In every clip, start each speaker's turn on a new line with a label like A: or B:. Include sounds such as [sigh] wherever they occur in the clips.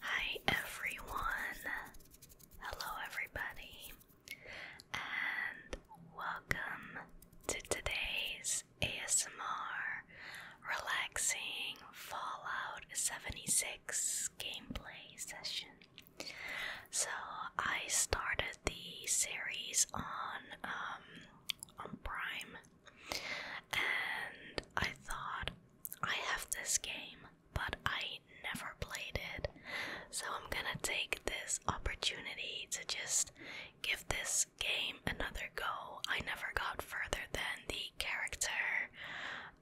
A: Hi everyone, hello everybody, and welcome to today's ASMR relaxing Fallout 76 gameplay session. So I started the series on um, on Prime and I thought I have this game, but I never played it, so I'm gonna take this opportunity to just give this game another go. I never got further than the character,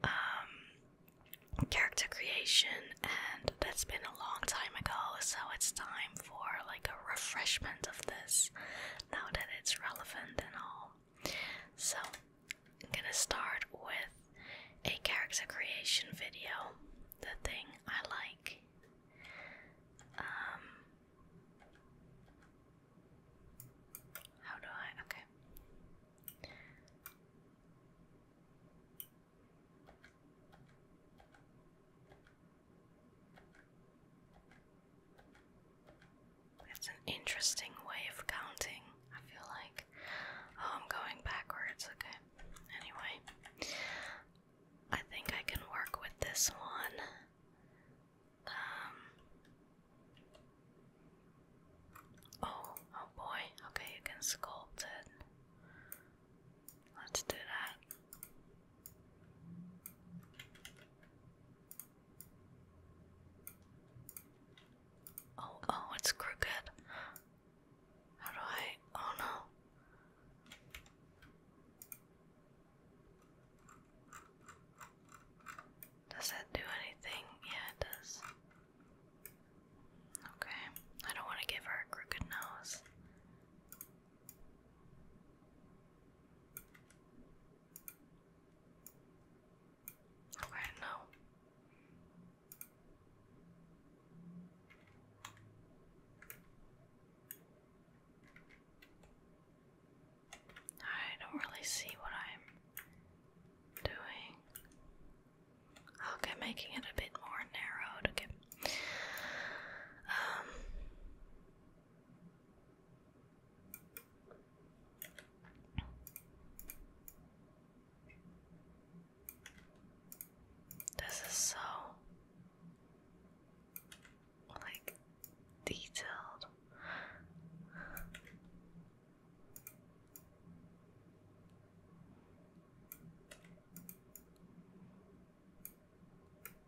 A: um, character creation, and that's been a long time ago, so it's time for like a refreshment of this now that it's relevant and all. So, I'm gonna start with a character creation video, the thing I like. Um, how do I? Okay. It's an interesting way of counting, I feel like. Oh, I'm going backwards, okay. Anyway, I think I can work with this one. Um. Oh, oh boy. Okay, you can sculpt it. Let's do that. Oh, oh, it's crooked. How do I? Oh no. Does that do anything? Yeah, it does. Okay. I don't want to give her a crooked nose. Okay, no. I don't really see what I'm doing. Okay, making it a bit more narrow to um, this is so like detailed.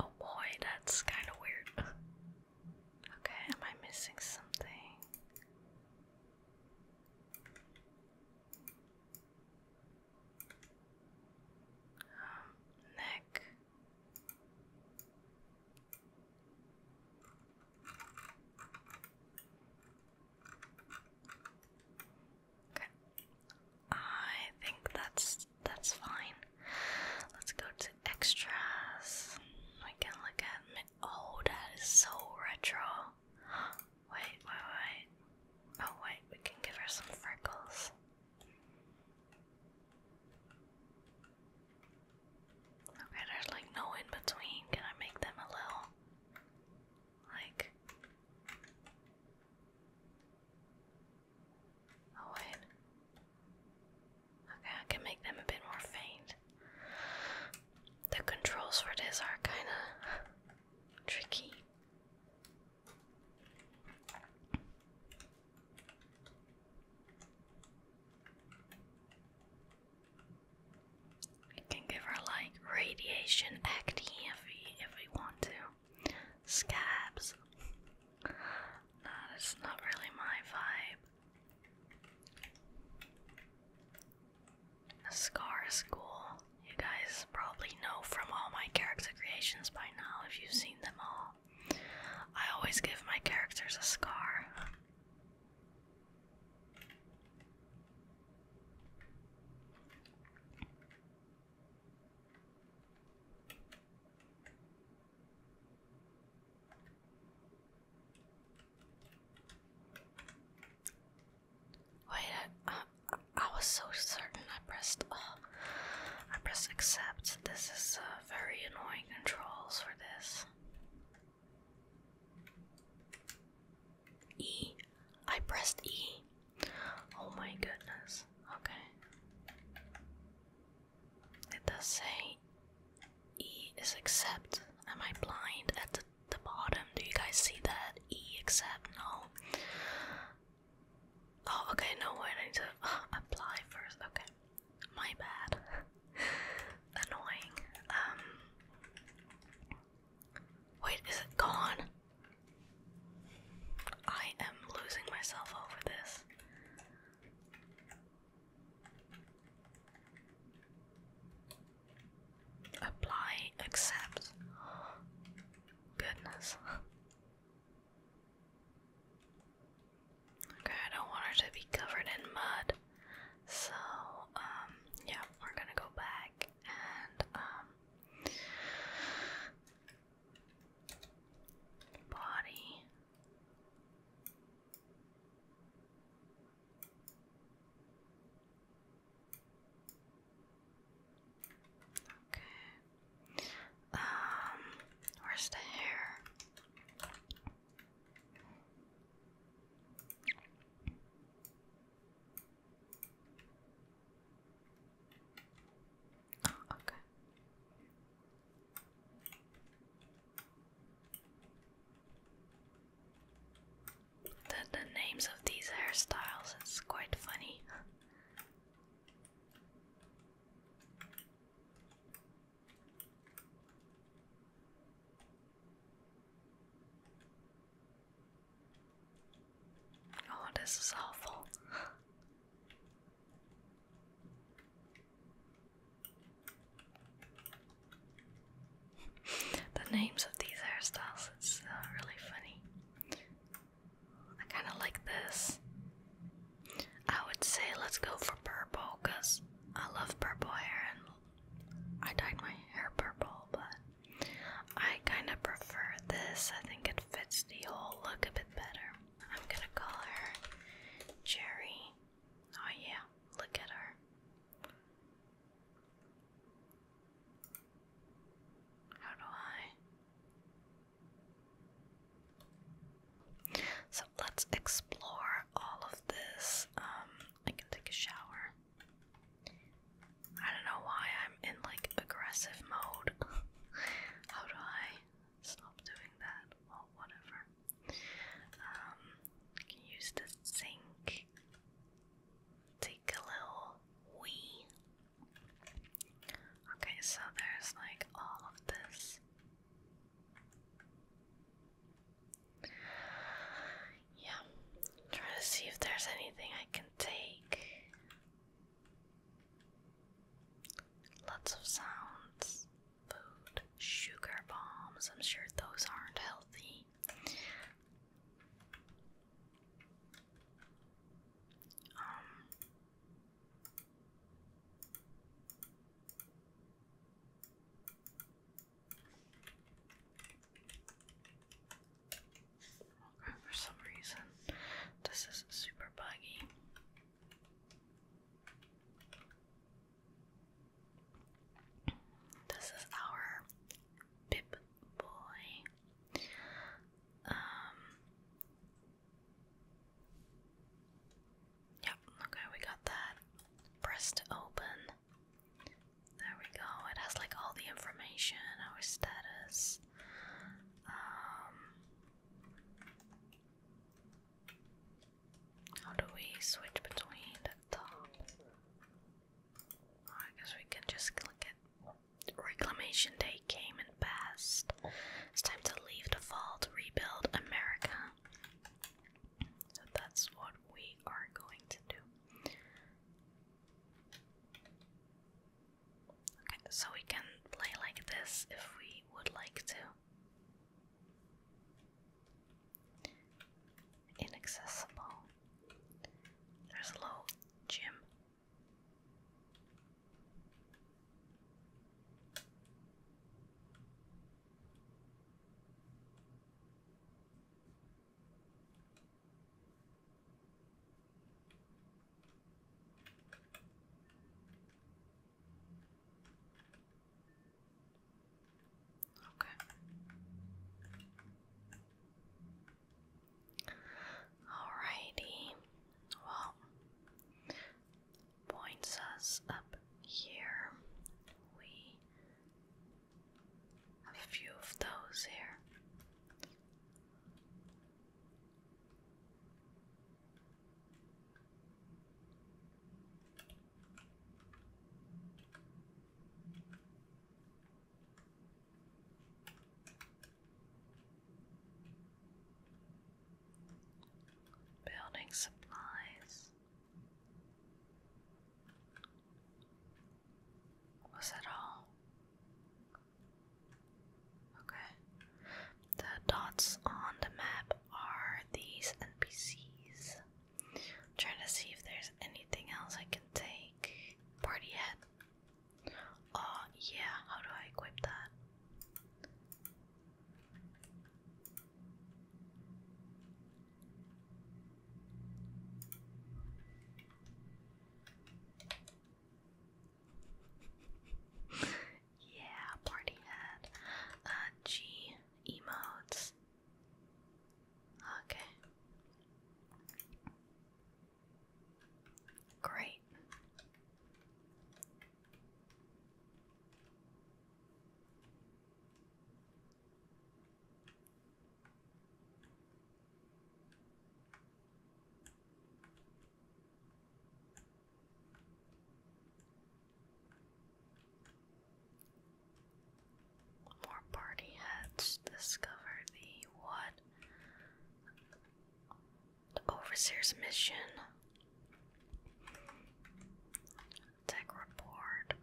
A: Oh boy, that's kind of weird. [laughs] okay, am I missing something? Um, neck. Okay. I think that's that's fine. Let's go to extras. We can look at oh that is so retro. Wait, wait, wait. Oh wait, we can give her some freckles. Okay, there's like no in between. Can I make them a little like Oh wait. Okay, I can make them a bit more faint. The controls for this are kind of tricky. It can give her like radiation acne if we if we on Scabs. Nah, that's not really my vibe. A scar is You guys probably know from all my character creations by now if you've seen them all. I always give my characters a scar. Wait, I, was so certain I pressed oh, I pressed accept. This is uh, very annoying controls for this. E. I pressed E. Oh my goodness. Okay. It does say E is accept. Am I blind at the, the bottom? Do you guys see that? E accept? No. Oh, okay. No, wait. I need to uh, apply first. Okay. My bad. [laughs] Annoying. Um. Wait, is it gone? I am losing myself over this. Apply, accept. Goodness. Okay, I don't want her to be covered in mud. So, um, yeah, we're gonna go back and, um, Body. Okay. Um, where's the hair? Oh, okay. The, the names of these hairstyles, it's quite funny. Oh, this is awful. [laughs] the names of these hairstyles, it's uh, really funny. I kind of like this. I would say let's go for purple because I love purple hair and I dyed my hair purple, but I kind of prefer this. I think it fits the whole look a bit better. I'm gonna call her Cherry. Oh, yeah, look at her. How do I? So let's explore all of this. Um, I can take a shower. I don't know why I'm in like aggressive mode. [laughs] How do I stop doing that? Well, whatever. Um, use the sink. Take a little wee. Okay, so there's like all of this. Yeah, try to see if there's anything I can take. Lots of sounds, food, sugar bombs. I'm sure those aren't healthy. Um, for some reason, this is super buggy. This is our Pip Boy. Um, yep, okay, we got that. Press open. There we go. It has like all the information, our status. Um, how do we switch between the top? Oh, I guess we can just click it. Reclamation Day came and passed. It's time to leave the fall rebuild America. So that's what we are going to do. Okay, so we can play like this if we would like to. Inaccessible. There's a little gym. Okay. Alrighty. Well, points us up here. We a few of those here. Building supplies. Was that all? Okay. The dots on the map are these NPCs. trying to see if there's anything else I can take. Party head. Oh, yeah, how do I equip that? yeah, party hat. Uh, G emotes. Okay. Great. More party heads discover the what? The Overseer's mission. Tech report.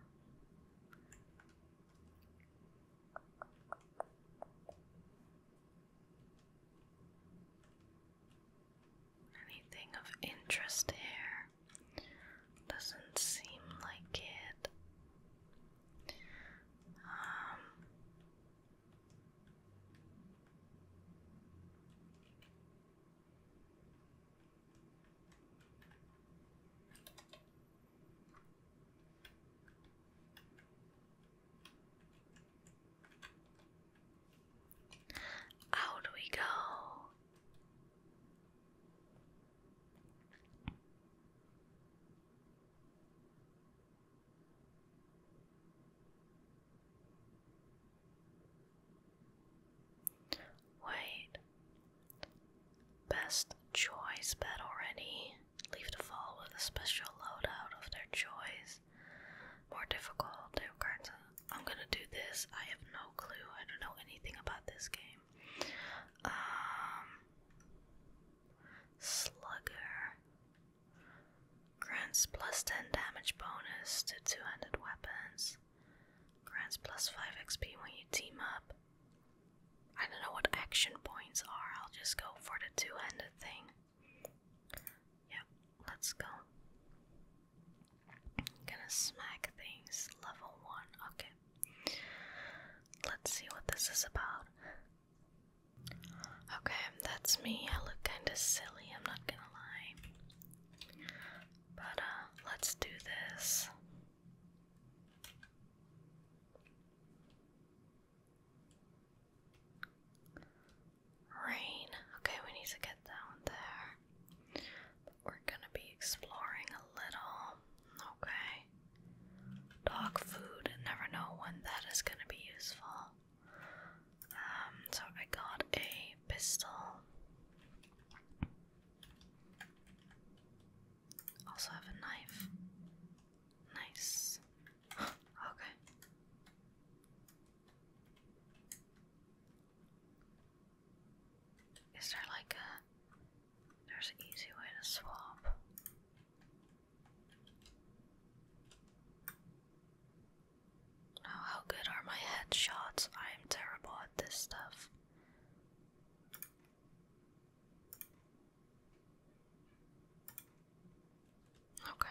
A: Anything of interest here? Doesn't seem like it. Um, out we go. Wait. Best choice bet already leave to fall with a special loadout of their choice. More difficult, they were I'm gonna do this, I have no clue, I don't know anything about this game. Um, Slugger. Grants plus 10 damage bonus to two-handed weapons. Grants plus 5 XP when you team up. I don't know what action points are, I'll just go for the two-handed thing. Yeah, let's go. gonna smack things. Level 1. Okay. Let's see what this is about. Okay, that's me. I look kinda silly, I'm not gonna lie. But, uh, let's do this. Rain. Okay, we need to get down there. we're gonna be exploring a little. Okay. Dog food. Never know when that is gonna be useful. Um, so I got a pistol. Also have a knife. Nice okay. Is there like a there's an easy way to swap? oh, how good are my headshots? I am terrible at this stuff. Okay.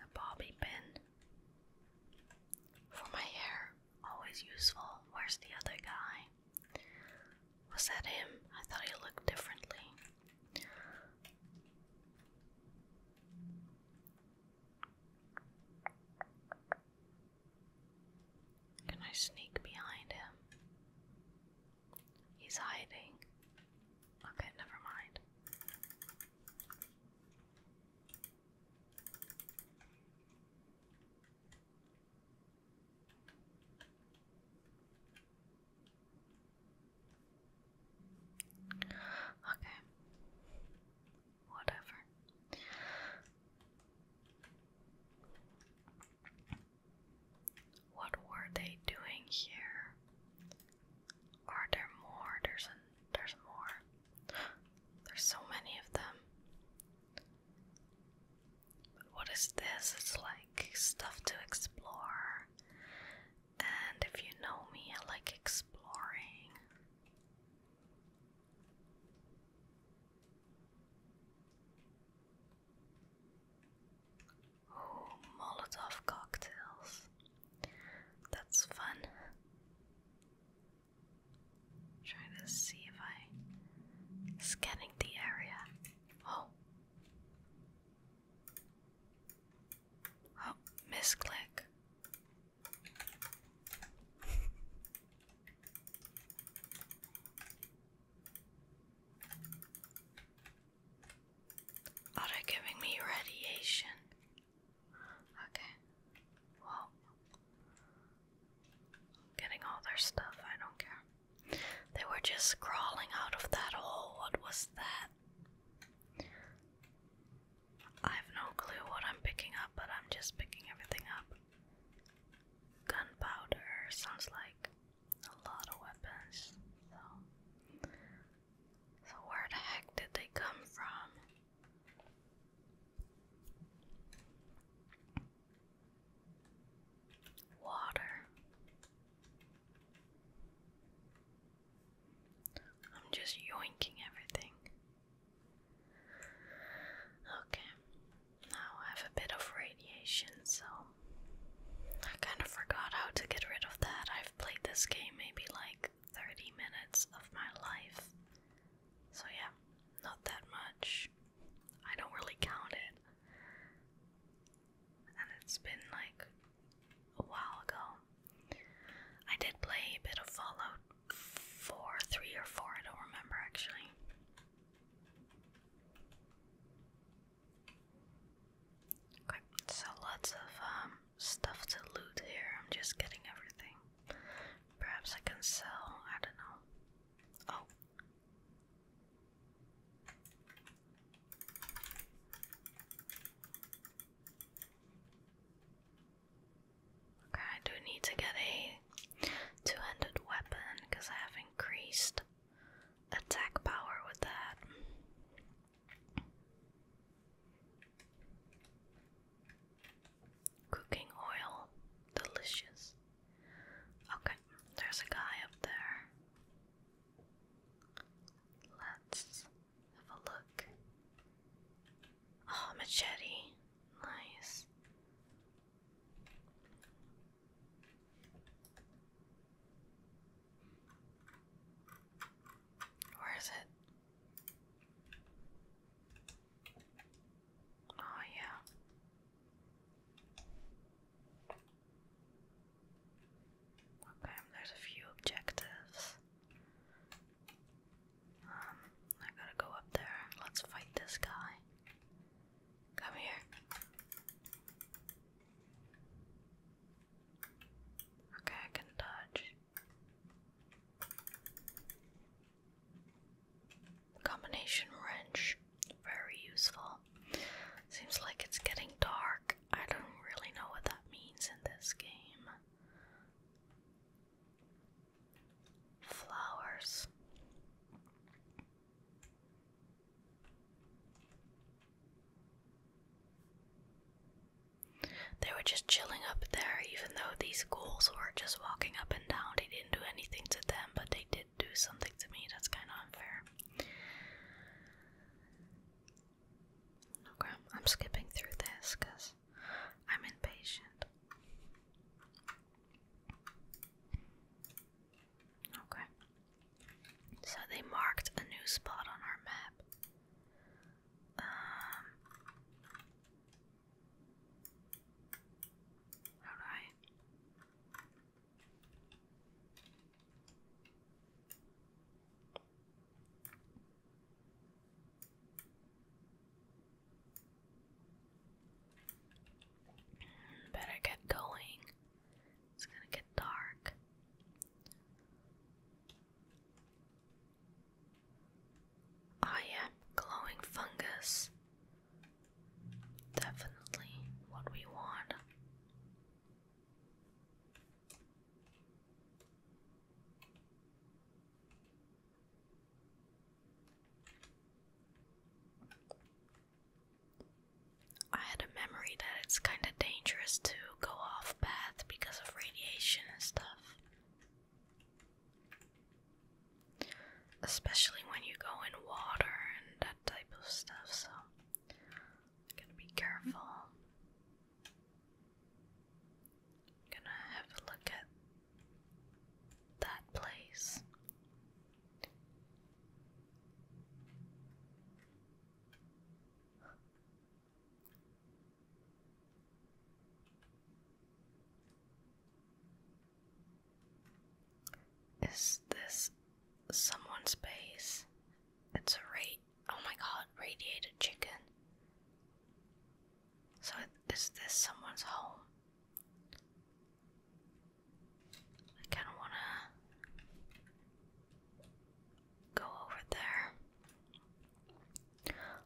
A: A bobby pin for my hair, always useful. Where's the other guy? Was that him? I thought he looked differently. Can I sneak behind him? He's hiding. Okay, never mind. Okay whatever. What were they doing here? Are there more? There's an, there's more. There's so many of them. what is this? It's like stuff to explore. And if you know me, I like exploring. Oh, Molotov cocktails. That's fun. Trying to see if I scanning the area. Oh. Oh, misclick. Are they giving me radiation? Okay. Well, getting all their stuff, I don't care. They were just crawling out of that hole. What was that? I have no clue what I'm picking up, but I'm just picking everything up. Gunpowder sounds like a lot of weapons. So, so where the heck did they come from? Water. I'm just yoinking everything. Okay, now I have a bit of radiation, so I kind of forgot how to get rid of that. I've played this game maybe like 30 minutes of my life, so yeah, not that much. I don't really count it. And it's been like a while ago. I did play a bit of Fallout four, three or four, I don't remember actually. Okay, so lots of um, stuff to loot here. I'm just getting everything. Perhaps I can sell, I don't know. Oh. Okay, I do need to get a two-handed weapon because I have increased attack power with that. Cooking oil, delicious. Okay, there's a guy up there. Let's have a look.
B: Oh, machete.
A: Nice. Where is it? Oh, yeah. Okay, there's a few objectives. Um, I gotta go up there. Let's fight this guy. Come here. Okay, I can dodge. Combination wrench. Very useful. Seems like it's getting dark. I don't really know what that means in this game flowers. They were just chilling up there, even though these ghouls were just walking up and down. They didn't do anything to them, but they did do something to me. That's kind of unfair. Okay, oh, I'm skipping through this because I'm impatient. Okay. So they marked a new spot on our map. how do I? Better get going. It's gonna get dark. Ah, yeah, glowing fungus. Definitely what we want. I had a memory that it's kind of dangerous to go off path because of radiation and stuff. Especially when you go in water and that type of stuff, so gotta be careful gonna have a look at that place. Is this someone's base? It's a rate. Oh my god, radiated chicken. So, is this someone's home? I kind of want to go over there.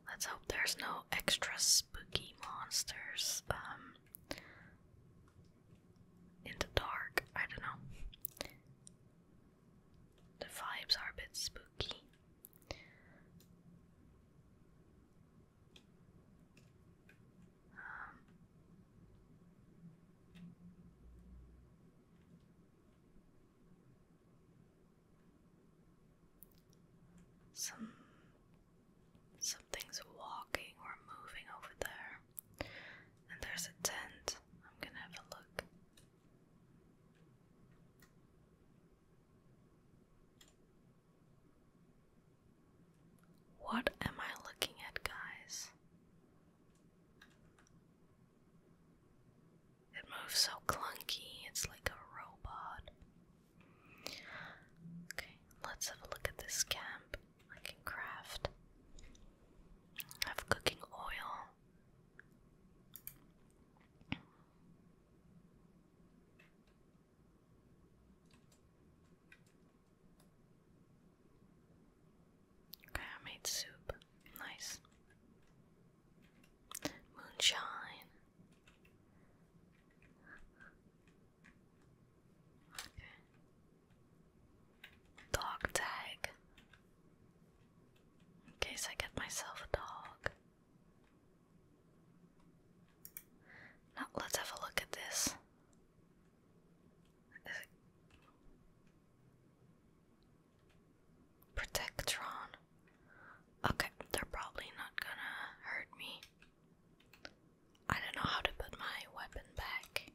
A: Let's hope there's no extra spooky monsters um, in the dark. I don't know. The vibes are a bit spooky. Um, some something's walking or moving over there. And there's a tent. I'm gonna have a look. What am I looking at, guys? It moves so clunky, it's like a robot. Okay, let's have a look at this camp. I can craft. I have cooking oil. Okay, I made soup. Nice. Moonshine. Dog tag. In case I get myself a dog. Now let's have a look at this. Protectron. Okay, they're probably not gonna hurt me. I don't know how to put my weapon back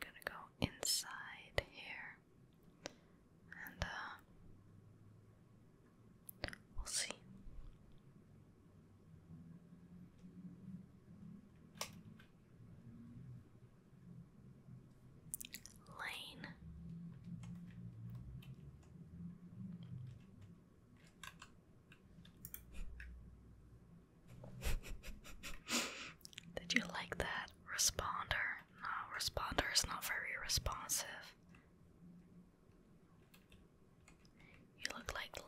A: gonna go inside here and uh, we'll see. Lane. [laughs] Did you like that? Responder. No, responder is not very responsive. You look like Lane.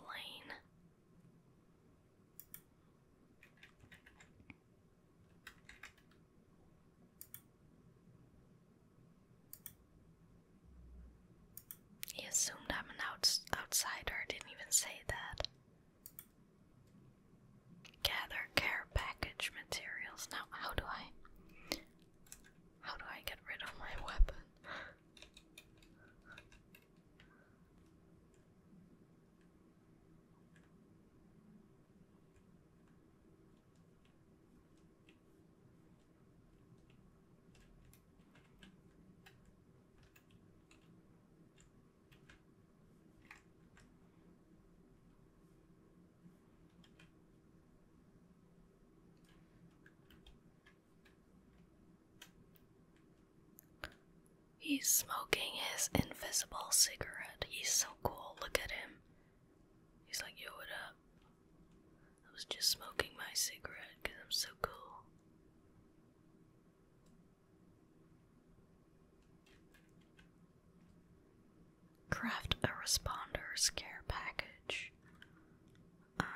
A: He assumed I'm an outsider, didn't even say that. Gather care package materials. Now, how do I. How do I get rid of my [laughs] weapon? He's smoking his invisible cigarette. He's so cool. Look at him. He's like, yo, what up? I was just smoking my cigarette because I'm so cool. Craft a responder scare package. Um,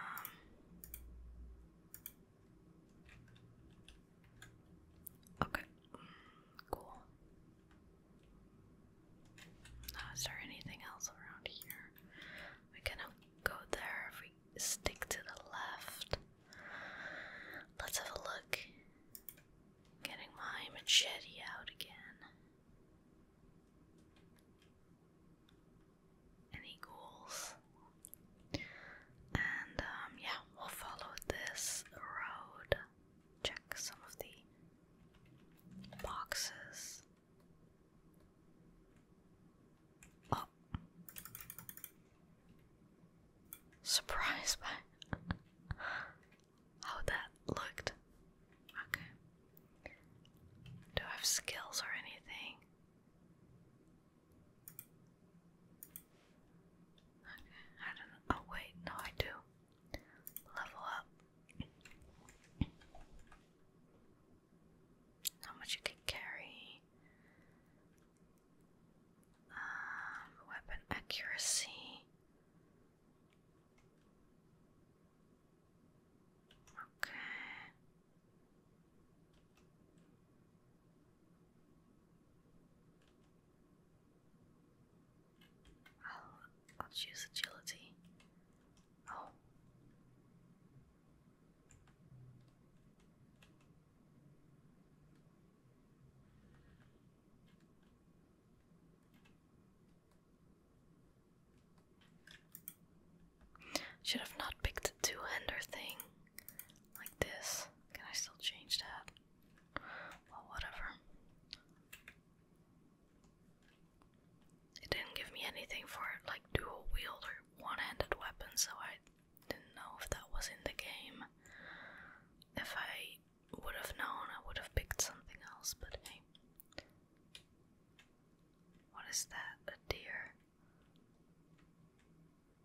A: okay, cool. Now, uh, is there anything else around here? We can go there if we stick to the left. Let's have a look. Getting my machete out again. Any ghouls? And um, yeah, we'll follow this road. Check some of the boxes. Oh. Surprised by how that looked. Okay. Do I have skills or anything? Okay, I don't Oh, wait, no, I do. Level up how much you can carry, um, weapon accuracy. Okay. I'll, I'll choose agility. Oh. Should have not picked the two-hander thing like this. Can I still change that? Well, whatever. It didn't give me anything for like dual wield or one handed weapons, so I didn't know if that was in the game. If I would have known, I would have picked something else, but hey. What is that? A deer?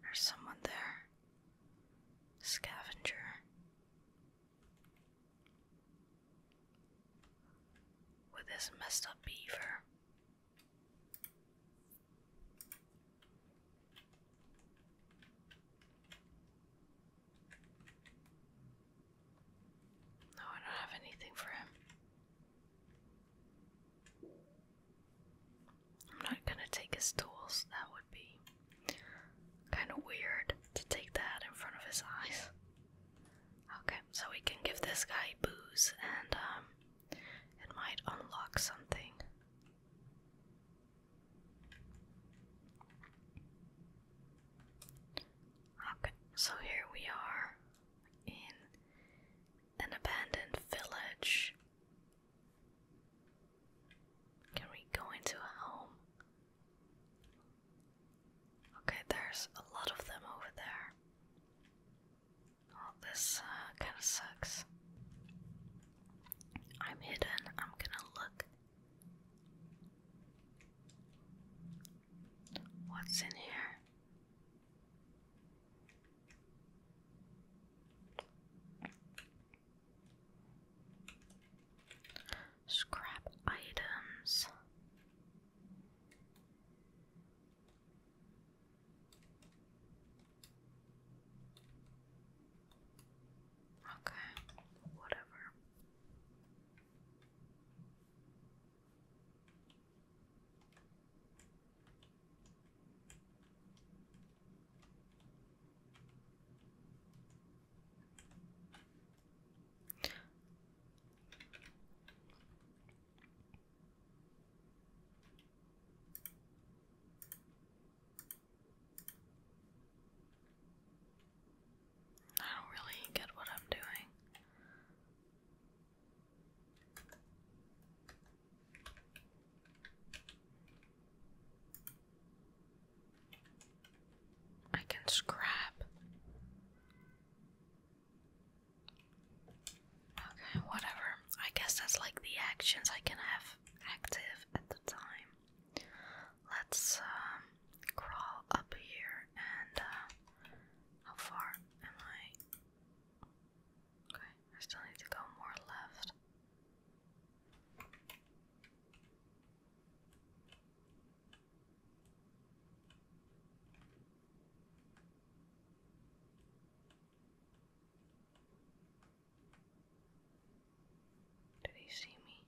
A: There's someone there. Scavenger. With this messed up beaver. No, I don't have anything for him. I'm not gonna take his tools, that would be kind of weird to take that in front of his eyes. Okay, so we can give this guy booze and um it might unlock something. so here we are in an abandoned village. Can we go into a home? Okay, there's a lot of them over there. Well, this uh, kind of sucks. I'm hidden. I'm gonna look. What's in here? Scrap items. Okay, whatever. I don't really get what I'm doing. I can scrap. Okay, whatever. I guess that's like the actions I can have active at the time. Let's um, crawl up here and uh, how far am I? Okay, I still need to go more left. Did he see me?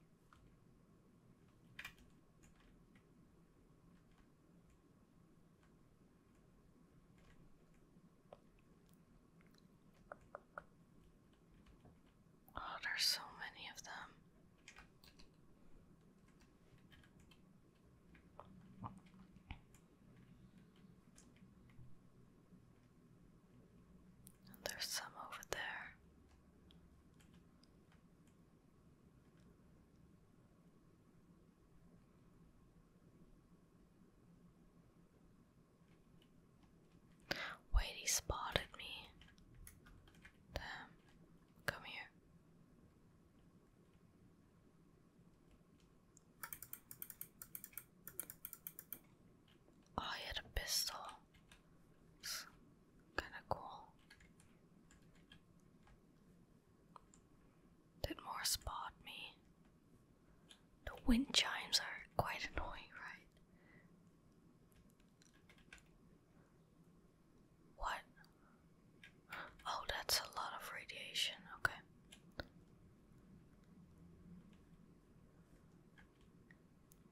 A: Oh, there's so many of them there's some over there. Wait, he spotted me. Damn, come here. Oh, he had a pistol. It's kinda cool. Did more spot me? The wind chimes are quite annoying, right? What? Oh, that's a lot of radiation. Okay.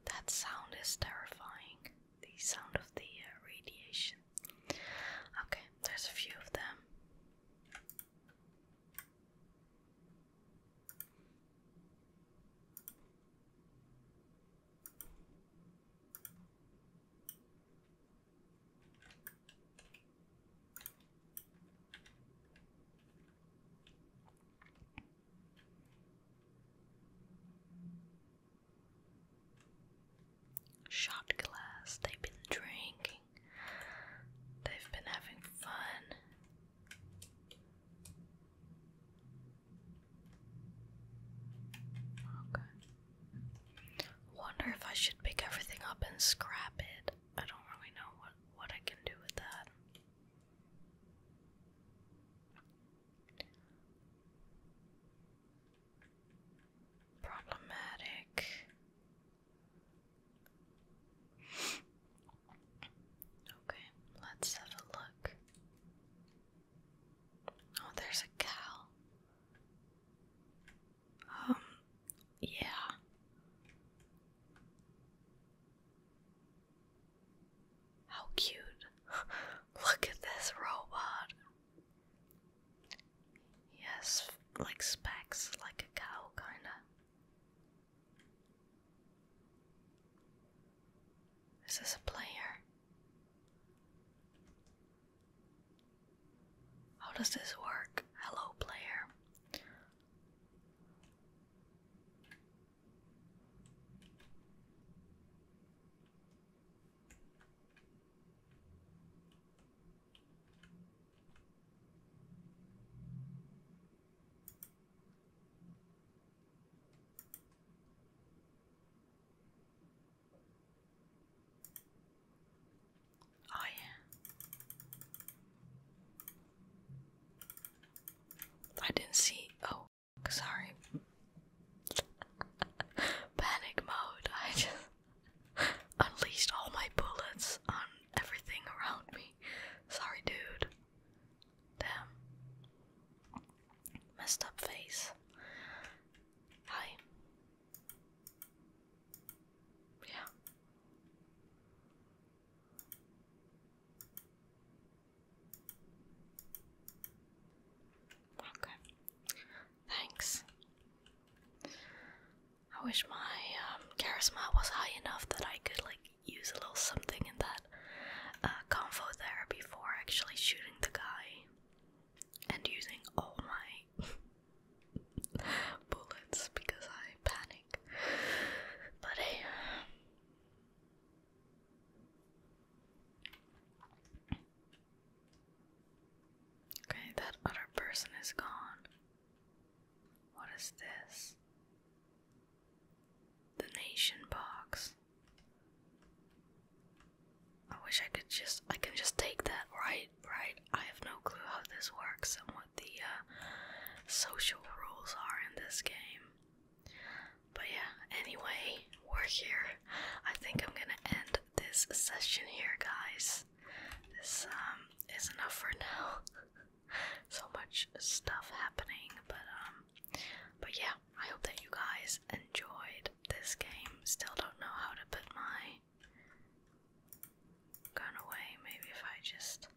A: That sound is terrifying. The sound of the uh, radiation. Okay, there's a few of them. Shot glass, they've been drinking, they've been having fun. Okay. Wonder if I should pick everything up and scrap it. I don't really know what what I can do with that. Problematic. Okay, let's have a look. Oh, there's a cow. Um, yeah. How cute. [laughs] Look at this robot. He has like specs, like a cow, kinda. Is a player? How does this work? Hello, player. Oh, yeah. I didn't see. Oh, sorry. [laughs] Panic mode. I just [laughs] unleashed all my bullets on everything around me. Sorry, dude. Damn. Messed up face. Hi. Yeah. Okay. Thanks. I wish my um, charisma was high enough that I could like use a little something in that uh, convo there before actually shooting the guy and using all my bullets because I panic. But hey. Okay, that other person is gone. What is this? The nation box. I wish I could just I can just take that, right? right? I have no clue how this works and what the uh, social rules are in this game. But yeah, anyway, we're here. I think I'm gonna end this session here, guys. This um is enough for now. [laughs] so much stuff happening, but um, but yeah, I hope that you guys enjoyed this game. Still don't know how to put my gone away. Maybe if I just.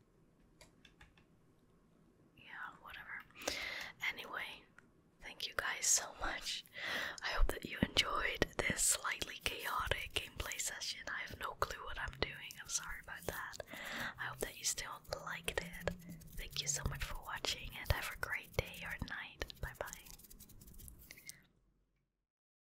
A: Yeah, whatever. Anyway, thank you guys so much. I hope that you enjoyed this slightly chaotic gameplay session. I have no clue what I'm doing. I'm sorry about that. I hope that you still liked it. Thank you so much for watching and have a great day or night. Bye bye.